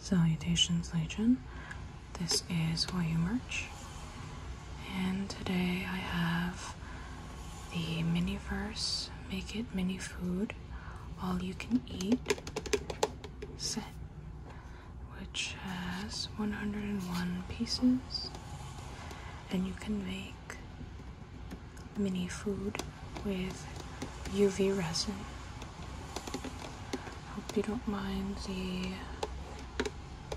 Salutations, Legion. This is YU Merch, and today I have the Miniverse Make It Mini Food All You Can Eat set, which has 101 pieces, and you can make mini food with UV resin. Hope you don't mind the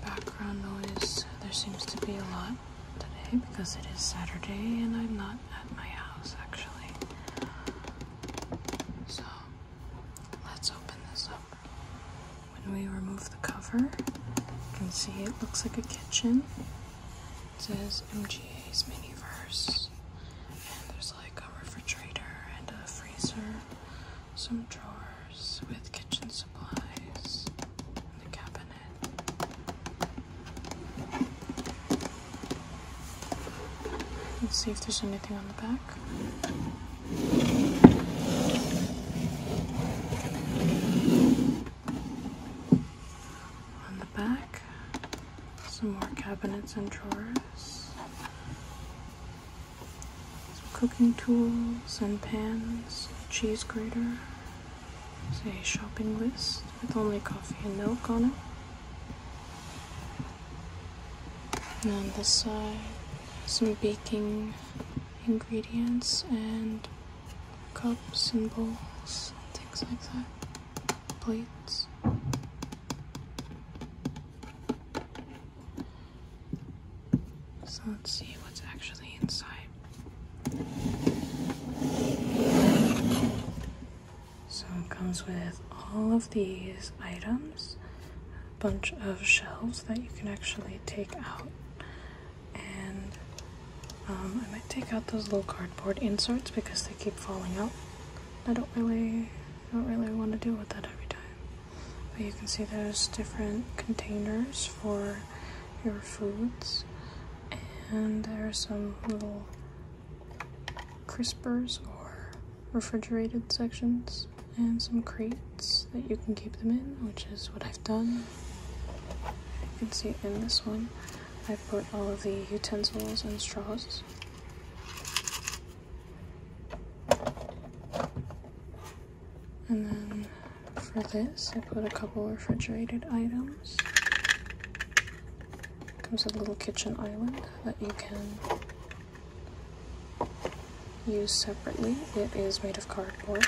background noise. There seems to be a lot today because it is Saturday and I'm not at my house actually. So let's open this up. When we remove the cover, you can see it looks like a kitchen. It says MGA's Miniverse. And there's like a refrigerator and a freezer, some drawers with kitchen supplies, and the cabinet. Let's see if there's anything on the back. On the back, some more cabinets and drawers, some cooking tools and pans, cheese grater, There's a shopping list with only coffee and milk on it. And on this side, some baking ingredients and cups and bowls and things like that plates. So let's see what's actually inside. So it comes with all of these items, a bunch of shelves that you can actually take out. And um, I might take out those little cardboard inserts because they keep falling out. I don't really, don't really want to deal with that every time. But you can see there's different containers for your foods, and there are some little crispers or refrigerated sections, and some crates that you can keep them in, which is what I've done. You can see in this one. I put all of the utensils and straws. And then for this, I put a couple refrigerated items. Comes a little kitchen island that you can use separately. It is made of cardboard.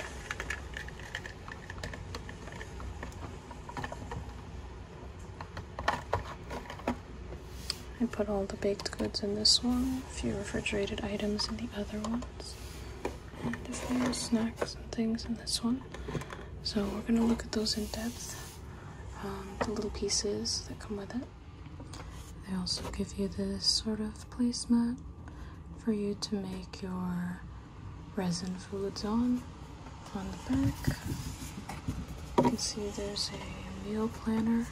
I put all the baked goods in this one, a few refrigerated items in the other ones, and a few snacks and things in this one. So we're going to look at those in depth, um, the little pieces that come with it. They also give you this sort of placemat for you to make your resin foods on on the back. You can see there's a meal planner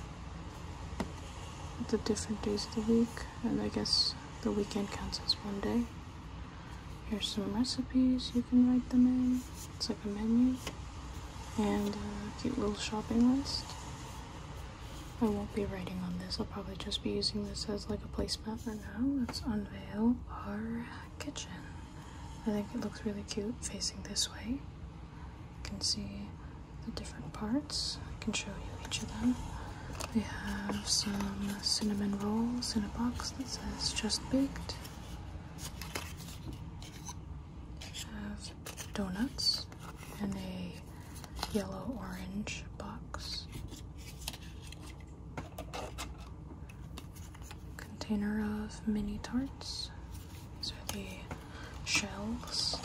with the different days of the week, and I guess the weekend counts as one day. Here's some recipes you can write them in. It's like a menu and a cute little shopping list. I won't be writing on this. I'll probably just be using this as like a placemat for now. Let's unveil our kitchen. I think it looks really cute facing this way. You can see the different parts. I can show you each of them. We have some cinnamon rolls in a box that says just baked. We have donuts in a yellow orange box container of mini tarts. These are the shells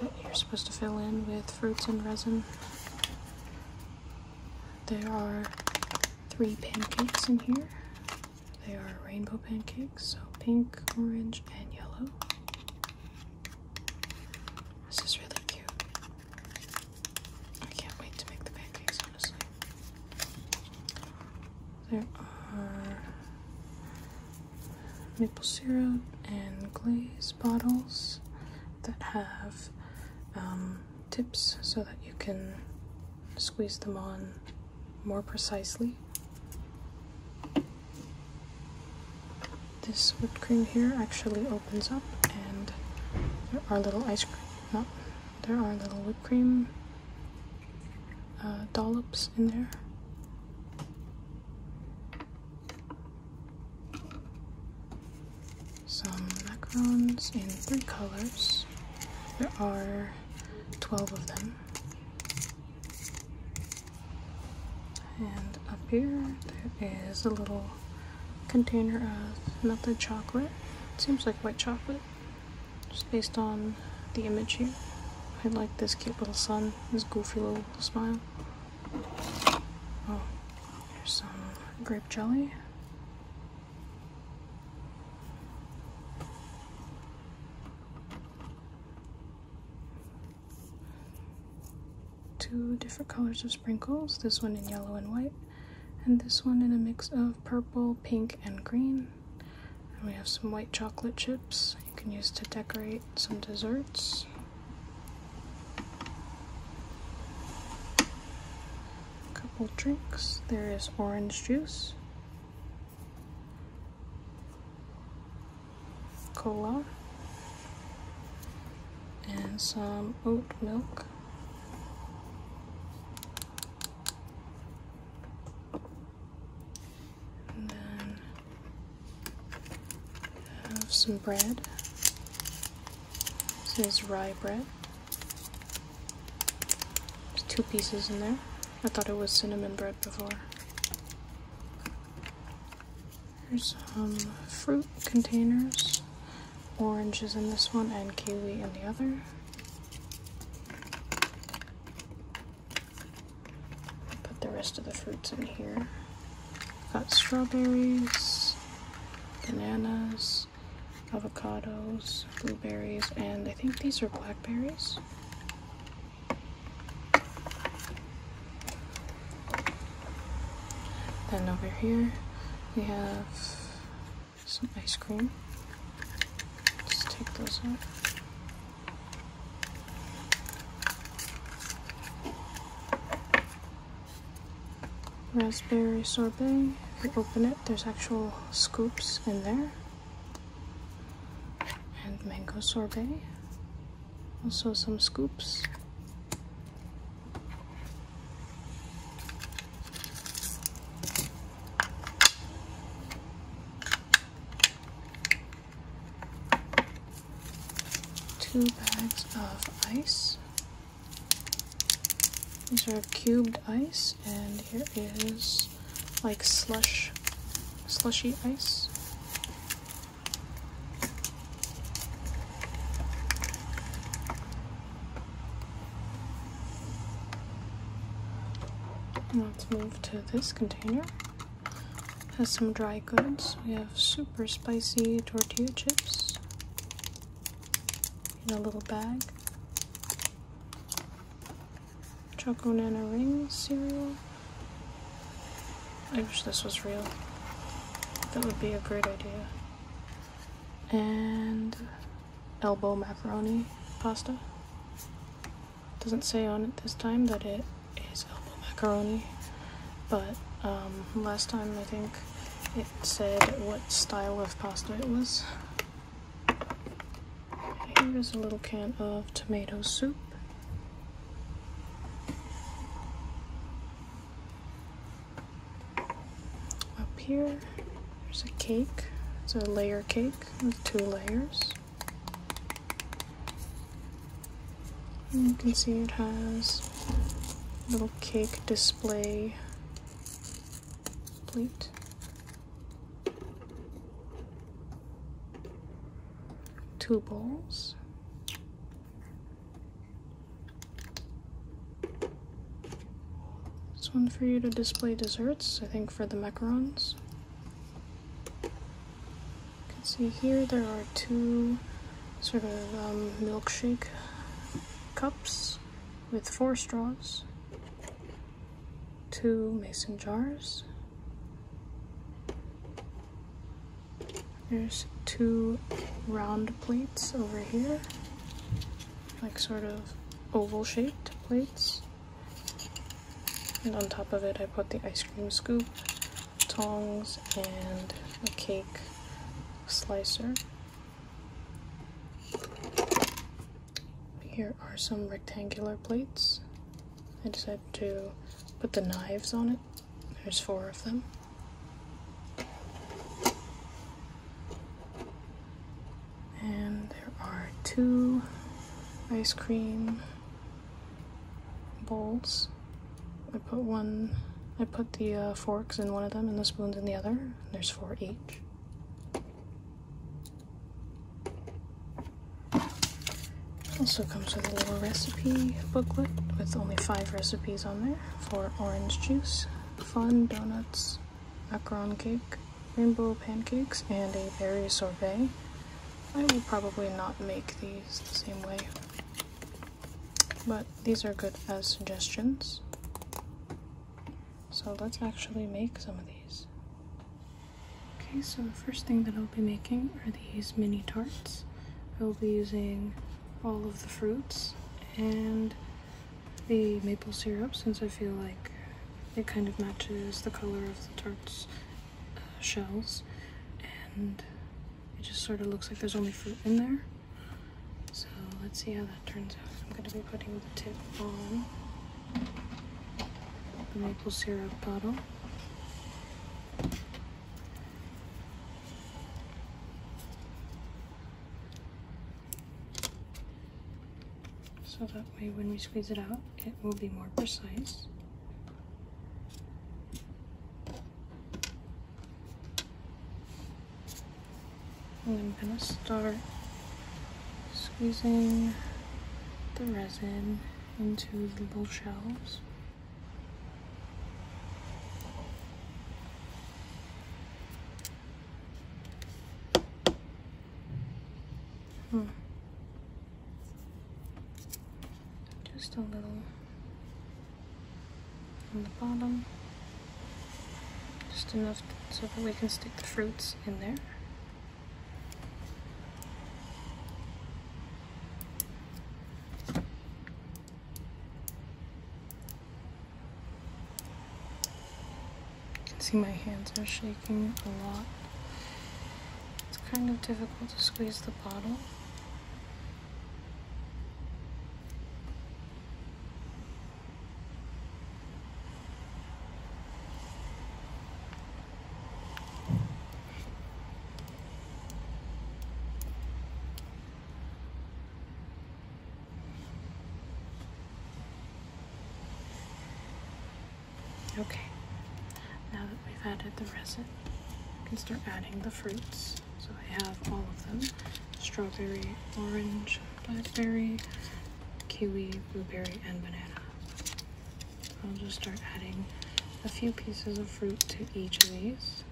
that you're supposed to fill in with fruits and resin. There are three pancakes in here. They are rainbow pancakes, so pink, orange, and yellow. This is really cute. I can't wait to make the pancakes, honestly. There are maple syrup and glaze bottles that have um, tips so that you can squeeze them on more precisely. This whipped cream here actually opens up and our little ice cream, not oh, there are little whipped cream uh, dollops in there. Some macarons in three colors. There are 12 of them. And up here there is a little container of melted chocolate. It seems like white chocolate just based on the image here. I like this cute little sun, this goofy little smile. Oh, there's some grape jelly. Two different colors of sprinkles, this one in yellow and white and this one in a mix of purple, pink, and green. we have some white chocolate chips you can use to decorate some desserts. A couple drinks. There is orange juice, cola, and some oat milk. And then I have some bread. This is rye bread. There's two pieces in there. I thought it was cinnamon bread before. Here's some fruit containers. Oranges in this one and kiwi in the other. Put the rest of the fruits in here. Got strawberries, bananas, avocados, blueberries, and I think these are blackberries. Then over here we have some ice cream. Just take those out. Raspberry sorbet. If open it, there's actual scoops in there. And mango sorbet. Also some scoops two bags of ice. These are cubed ice, and here is like slush, slushy ice. Let's move to this container. has some dry goods. We have super spicy tortilla chips in a little bag. Chocolate Nana Rings cereal. I wish this was real. That would be a great idea. And elbow macaroni pasta. Doesn't say on it this time that it is elbow macaroni, but um, last time I think it said what style of pasta it was. Here is a little can of tomato soup. Up here, there's a cake. It's a layer cake with two layers. you can see it has little cake display plate. Two bowls. This one for you to display desserts, I think for the macarons. You can see here there are two sort of um, milkshake cups with four straws, two mason jars. There's two round plates over here like sort of oval shaped plates. And on top of it I put the ice cream scoop, tongs, and a cake slicer. Here are some rectangular plates. I decided to put the knives on it. There's four of them. And there are two ice cream bowls. I put one, I put the uh, forks in one of them and the spoons in the other. There's four each. Also comes with a little recipe booklet with only five recipes on there for orange juice fun donuts, macaron cake, rainbow pancakes, and a berry sorbet. I will probably not make these the same way, but these are good as suggestions. So let's actually make some of these. Okay, so the first thing that I'll be making are these mini tarts. I will be using all of the fruits and the maple syrup since I feel like it kind of matches the color of the tart's uh, shells and it just sort of looks like there's only fruit in there. So let's see how that turns out. I'm going to be putting the tip on the maple syrup bottle. So that way when we squeeze it out, it will be more precise. And I'm gonna start squeezing the resin into the little shells. Hmm. Just a little on the bottom. Just enough so that we can stick the fruits in there. You can see my hands are shaking a lot. It's kind of difficult to squeeze the bottle. Okay, now that we've added the resin, we can start adding the fruits. So I have all of them, strawberry, orange, blackberry, kiwi, blueberry, and banana. I'll just start adding a few pieces of fruit to each of these.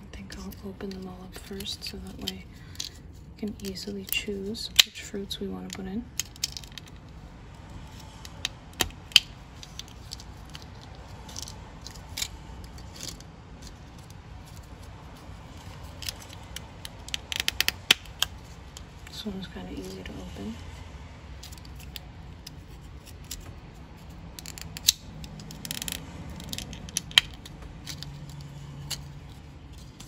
I think I'll open them all up first so that way we can easily choose which fruits we want to put in. This one's kind of easy to open. Okay,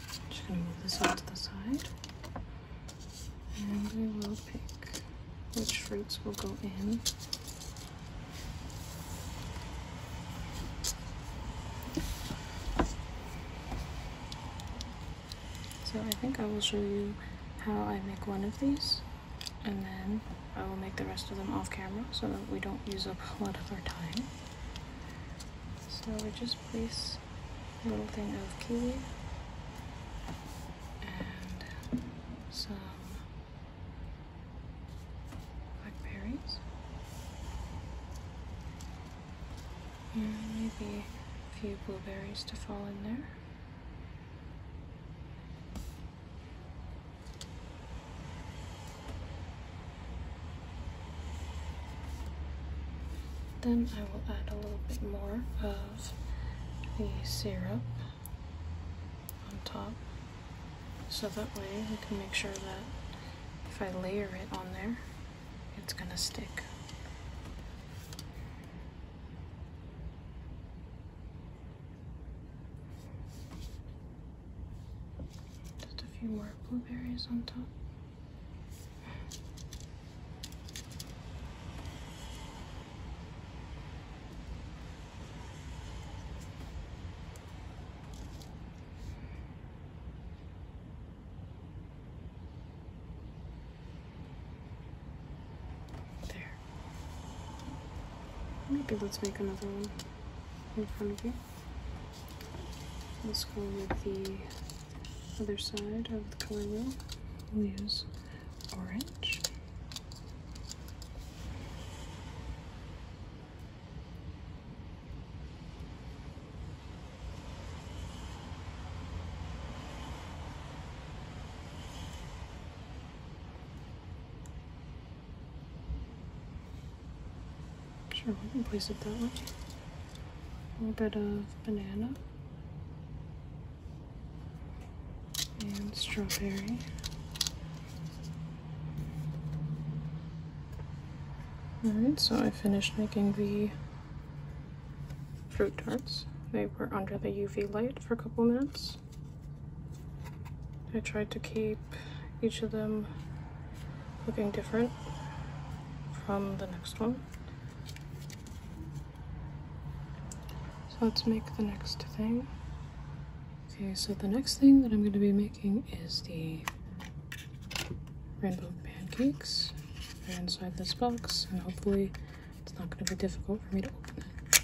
I'm just going to move this off to the side. And we will pick which fruits will go in so I think I will show you how I make one of these and then I will make the rest of them off camera so that we don't use up a lot of our time. So we just place a little thing of kiwi and some blackberries, maybe a few blueberries to fall in there. Then I will add a little bit more of the syrup on top. So that way I can make sure that if I layer it on there, it's gonna stick. Just a few more blueberries on top. There. Maybe let's make another one in front of you. Let's go with the other side of the color wheel. We'll use orange. Sure, we can place it that way. A little bit of banana and strawberry. Alright, so I finished making the fruit tarts. They were under the UV light for a couple minutes. I tried to keep each of them looking different from the next one. So let's make the next thing. Okay, so the next thing that I'm going to be making is the rainbow pancakes. They're inside this box, and hopefully it's not going to be difficult for me to open it.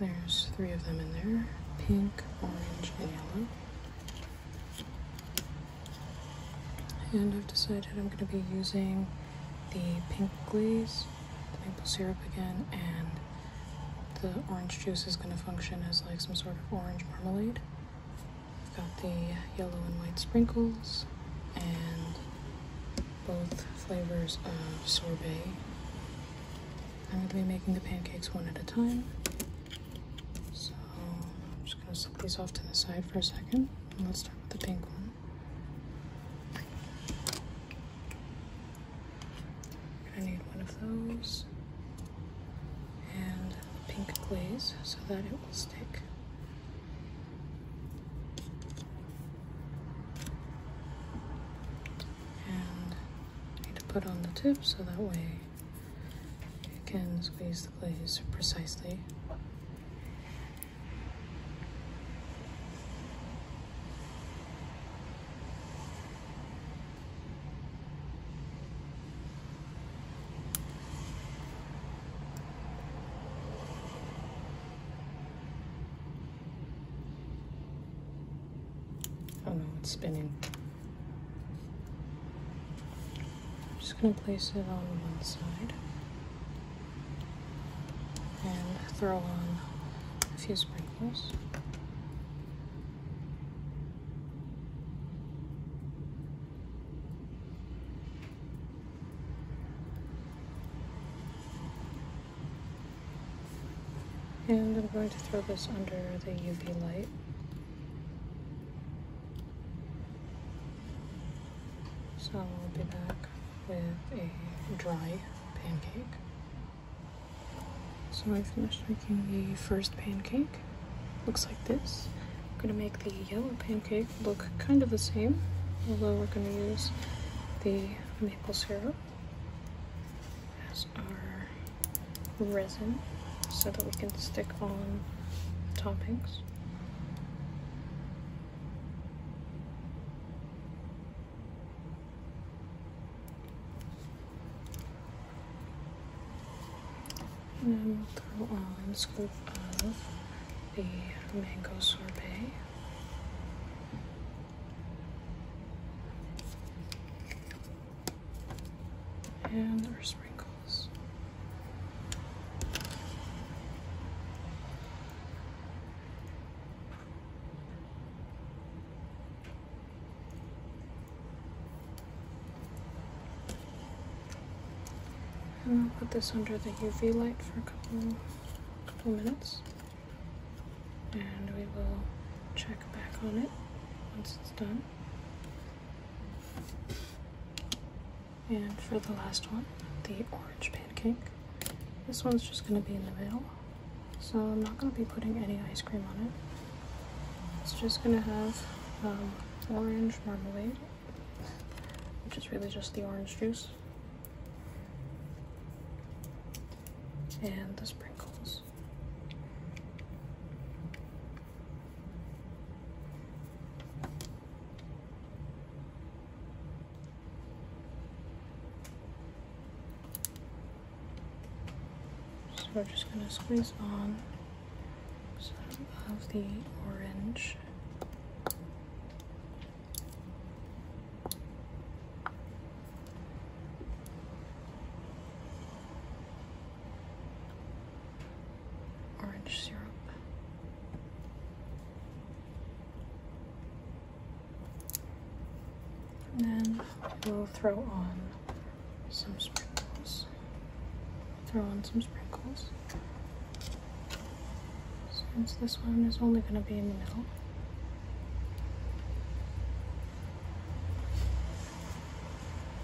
There's three of them in there, pink, orange, and yellow. And I've decided I'm going to be using the pink glaze, the maple syrup again, and the orange juice is going to function as like some sort of orange marmalade. I've got the yellow and white sprinkles and both flavors of sorbet. I'm going to be making the pancakes one at a time. So just gonna set these off to the side for a second. And let's start with the pink one. I are gonna need one of those and the pink glaze so that it will stick. And I need to put on the tip so that way you can squeeze Please, precisely. Oh no, it's spinning. I'm just going to place it on one side and throw on a few sprinkles. And I'm going to throw this under the UV light. So I'll be back with a dry pancake. So I finished making the first pancake. Looks like this. I'm gonna make the yellow pancake look kind of the same, although we're gonna use the maple syrup as our resin so that we can stick on toppings. And we'll throw on a scoop of the mango sorbet. And our those wrinkles. And i put this under the UV light for a couple, couple minutes. And we will check back on it once it's done. And for the last one, the orange pancake. This one's just going to be in the middle. So I'm not going to be putting any ice cream on it. It's just going to have um, orange marmalade, which is really just the orange juice. And the sprinkles. So we're just going to squeeze on some of the orange orange syrup. And then we'll throw on some sprinkles. Throw on some sprinkles. Since this one is only going to be in the middle.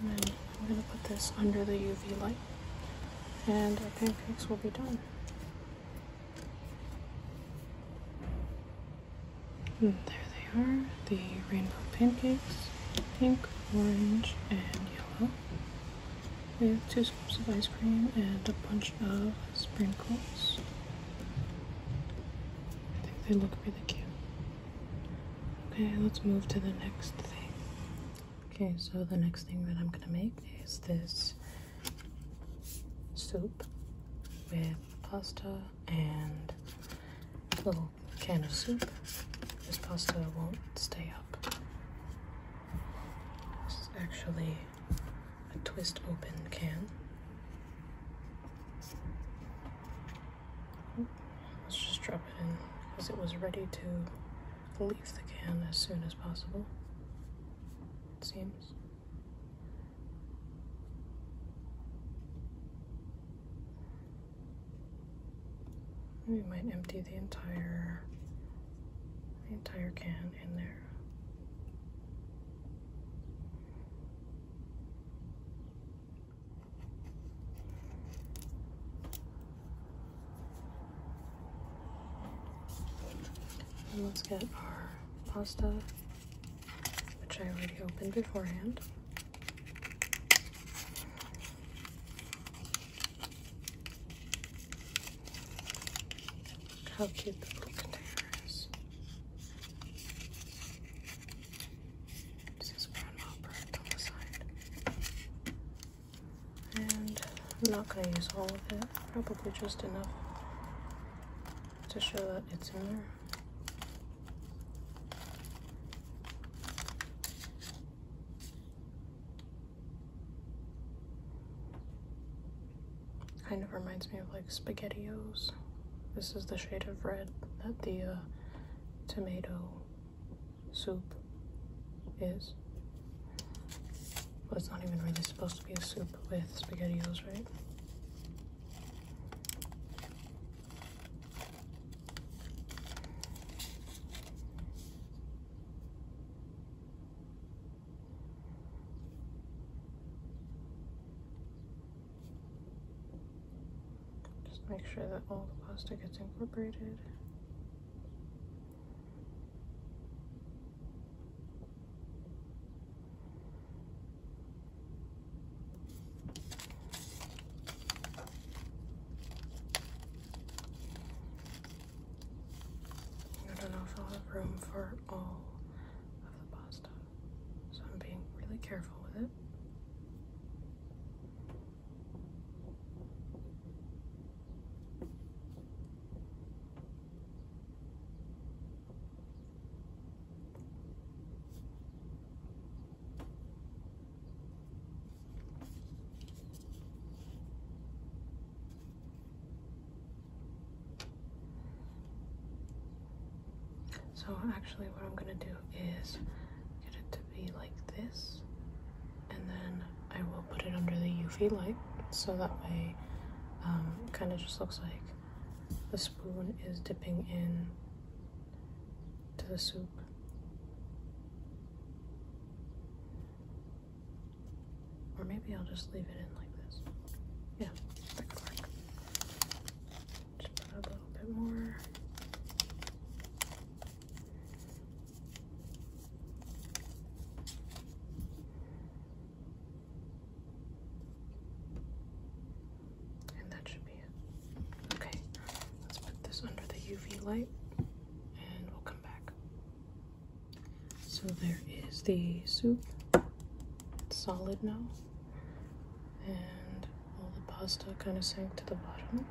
And then I'm going to put this under the UV light and our pancakes will be done. And there they are, the rainbow pancakes, pink, orange, and yellow, with two scoops of ice cream and a bunch of sprinkles. I think they look really cute. Okay, let's move to the next thing. Okay, so the next thing that I'm gonna make is this soup with pasta and a little can of soup. This pasta won't stay up. This is actually a twist open can. Let's just drop it in because it was ready to leave the can as soon as possible, it seems. We might empty the entire entire can in there. And let's get our pasta, which I already opened beforehand. how cute the little container is. It says grandma print on the side. And I'm not going to use all of it, probably just enough to show that it's in there. Kind of reminds me of like SpaghettiOs. This is the shade of red that the uh, tomato soup is. Well, it's not even really supposed to be a soup with SpaghettiOs, right? Just make sure that all the plastic gets incorporated. I don't know if I'll have room for all of the pasta. So I'm being really careful with it. So actually what I'm gonna do is get it to be like this and then I will put it under the UV light so that way it um, kind of just looks like the spoon is dipping in to the soup. Or maybe I'll just leave it in like this. Yeah, just put a little bit more. And that should be it. Okay, let's put this under the UV light and we'll come back. So there is the soup. It's solid now and all the pasta kind of sank to the bottom.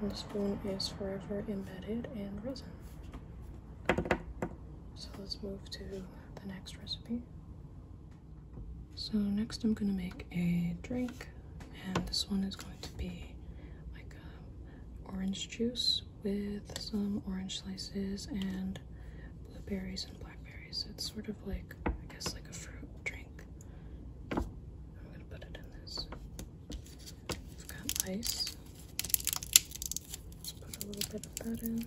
And the spoon is forever embedded in resin. So let's move to the next recipe. So next I'm gonna make a drink and this one is going to be like orange juice with some orange slices and blueberries and blackberries. It's sort of like, I guess, like a fruit drink. I'm gonna put it in this. I've got ice. Let's put a little bit of that in.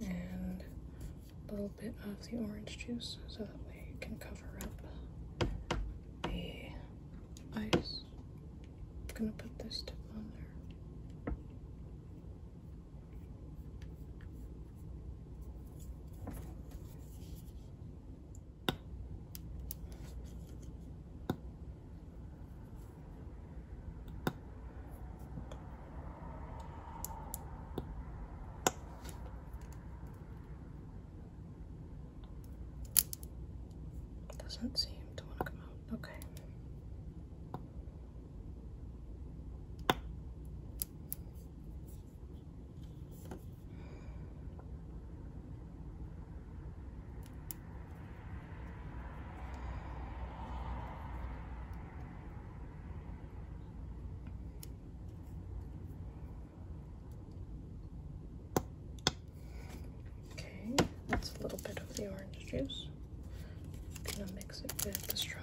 and a little bit of the orange juice so that we can cover up the ice. I'm gonna put this tip on there. Doesn't seem to want to come out. Okay. Okay, that's a little bit of the orange juice. gonna mix it with the straw.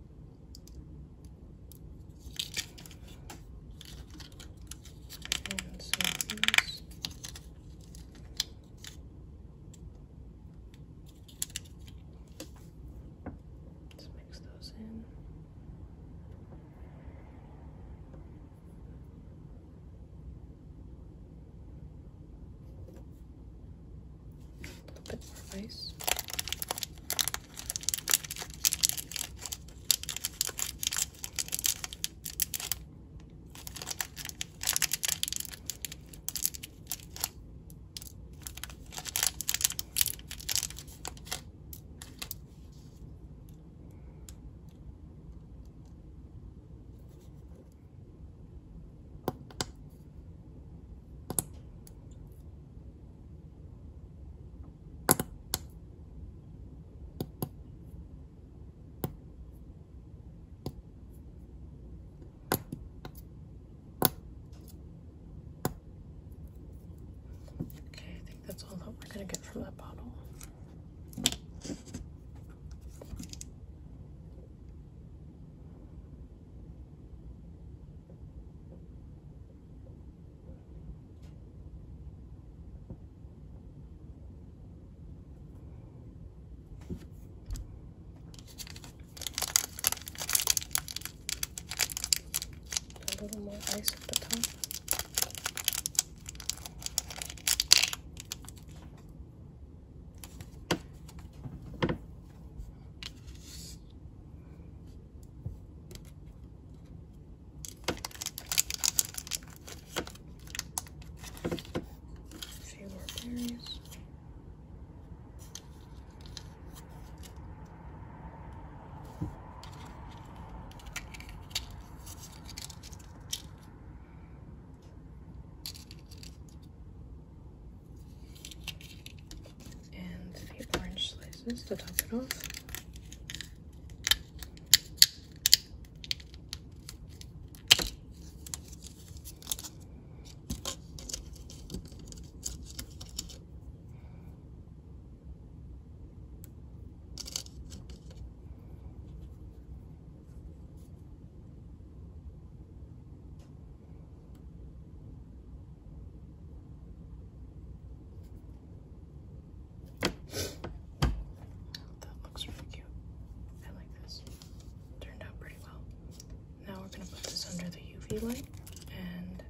Let's mix those in. A little bit more ice. Okay, I think that's all that we're going to get from that bottle. A little more ice at the top. Few more berries and the orange slices to top it off. That looks really cute. I like this. Turned out pretty well. Now we're gonna put this under the UV light and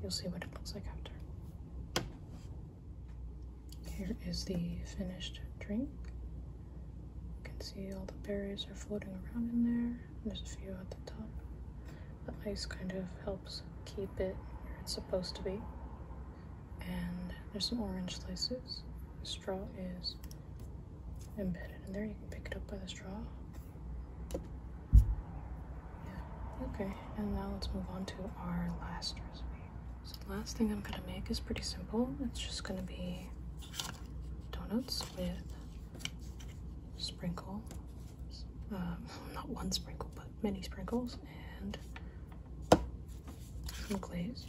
you'll see what it looks like after. Here is the finished drink. You can see all the berries are floating around in there. There's a few at the top. The ice kind of helps keep it where it's supposed to be. And there's some orange slices. The straw is embedded in there. You can pick it up by the straw. Yeah. Okay, and now let's move on to our last recipe. So the last thing I'm gonna make is pretty simple. It's just gonna be donuts with sprinkle, um, not one sprinkle, but many sprinkles, and some glaze.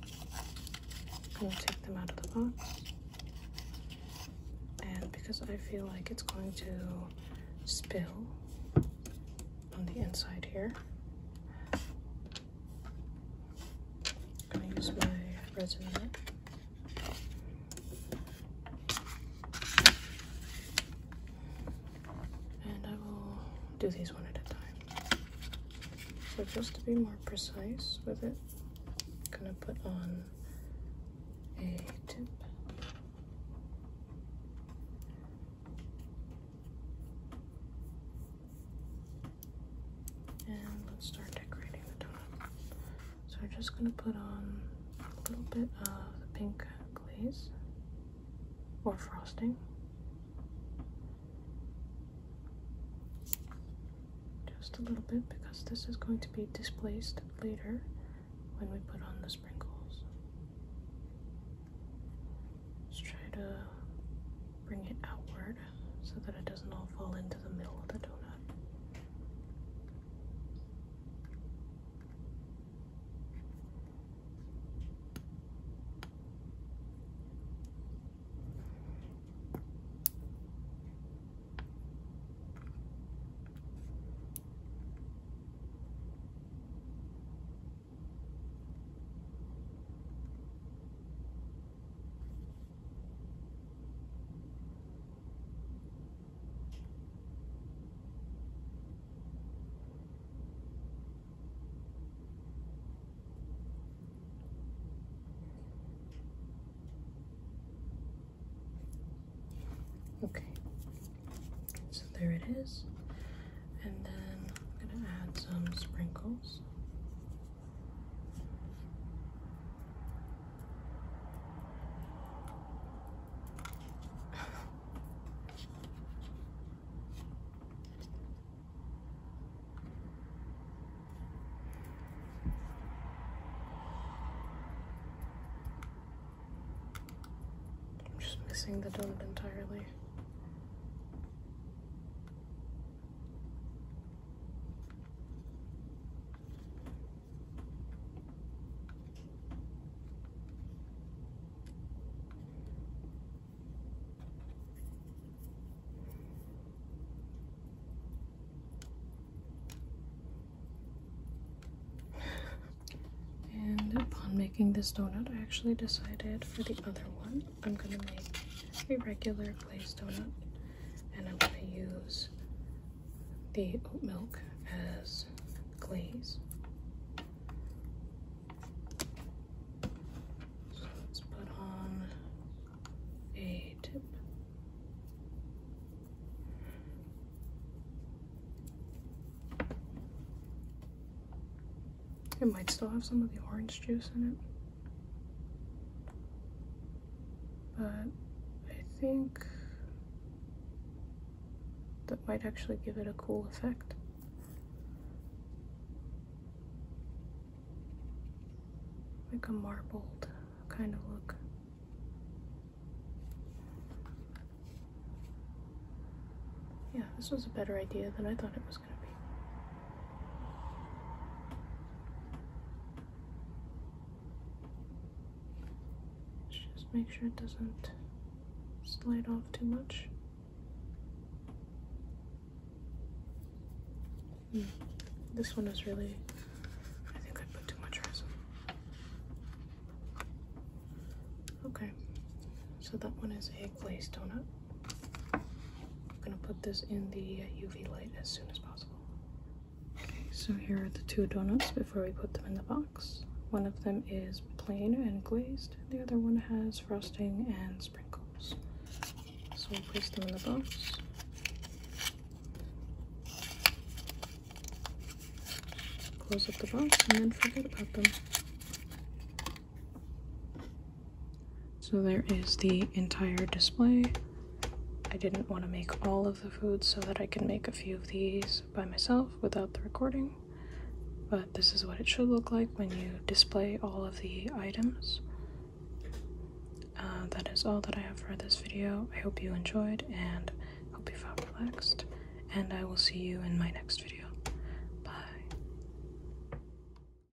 I'm gonna take them out of the box. And because I feel like it's going to spill on the inside here, I am going to use my resin, And I will do these one at a time. So just to be more precise with it, I'm gonna put on a tip. And let's start decorating the top. So we're just going to put on a little bit of the pink glaze or frosting. Just a little bit because this is going to be displaced later when we put on the sprinkles. Let's try to bring it outward so that it doesn't all fall into the middle of the donut. Okay, so there it is. And then I'm going to add some sprinkles. I'm just missing the donut entirely. And upon making this donut, I actually decided for the other one I'm gonna make a regular glazed donut and I'm gonna use the oat milk as glaze. let's put on a tip. It might still have some of the orange juice in it. But I think that might actually give it a cool effect. Like a marbled kind of look. Yeah, this was a better idea than I thought it was just make sure it doesn't slide off too much. Hmm. This one is really, I think I put too much resin. Okay, so that one is a glazed donut. I'm gonna put this in the UV light as soon as possible. Okay, so here are the two donuts before we put them in the box. One of them is plain and glazed, the other one has frosting and sprinkles. So we'll place them in the box. Close up the box and then forget about them. So there is the entire display. I didn't want to make all of the food so that I can make a few of these by myself without the recording. But this is what it should look like when you display all of the items. Uh, that is all that I have for this video. I hope you enjoyed and hope you felt relaxed. And I will see you in my next video.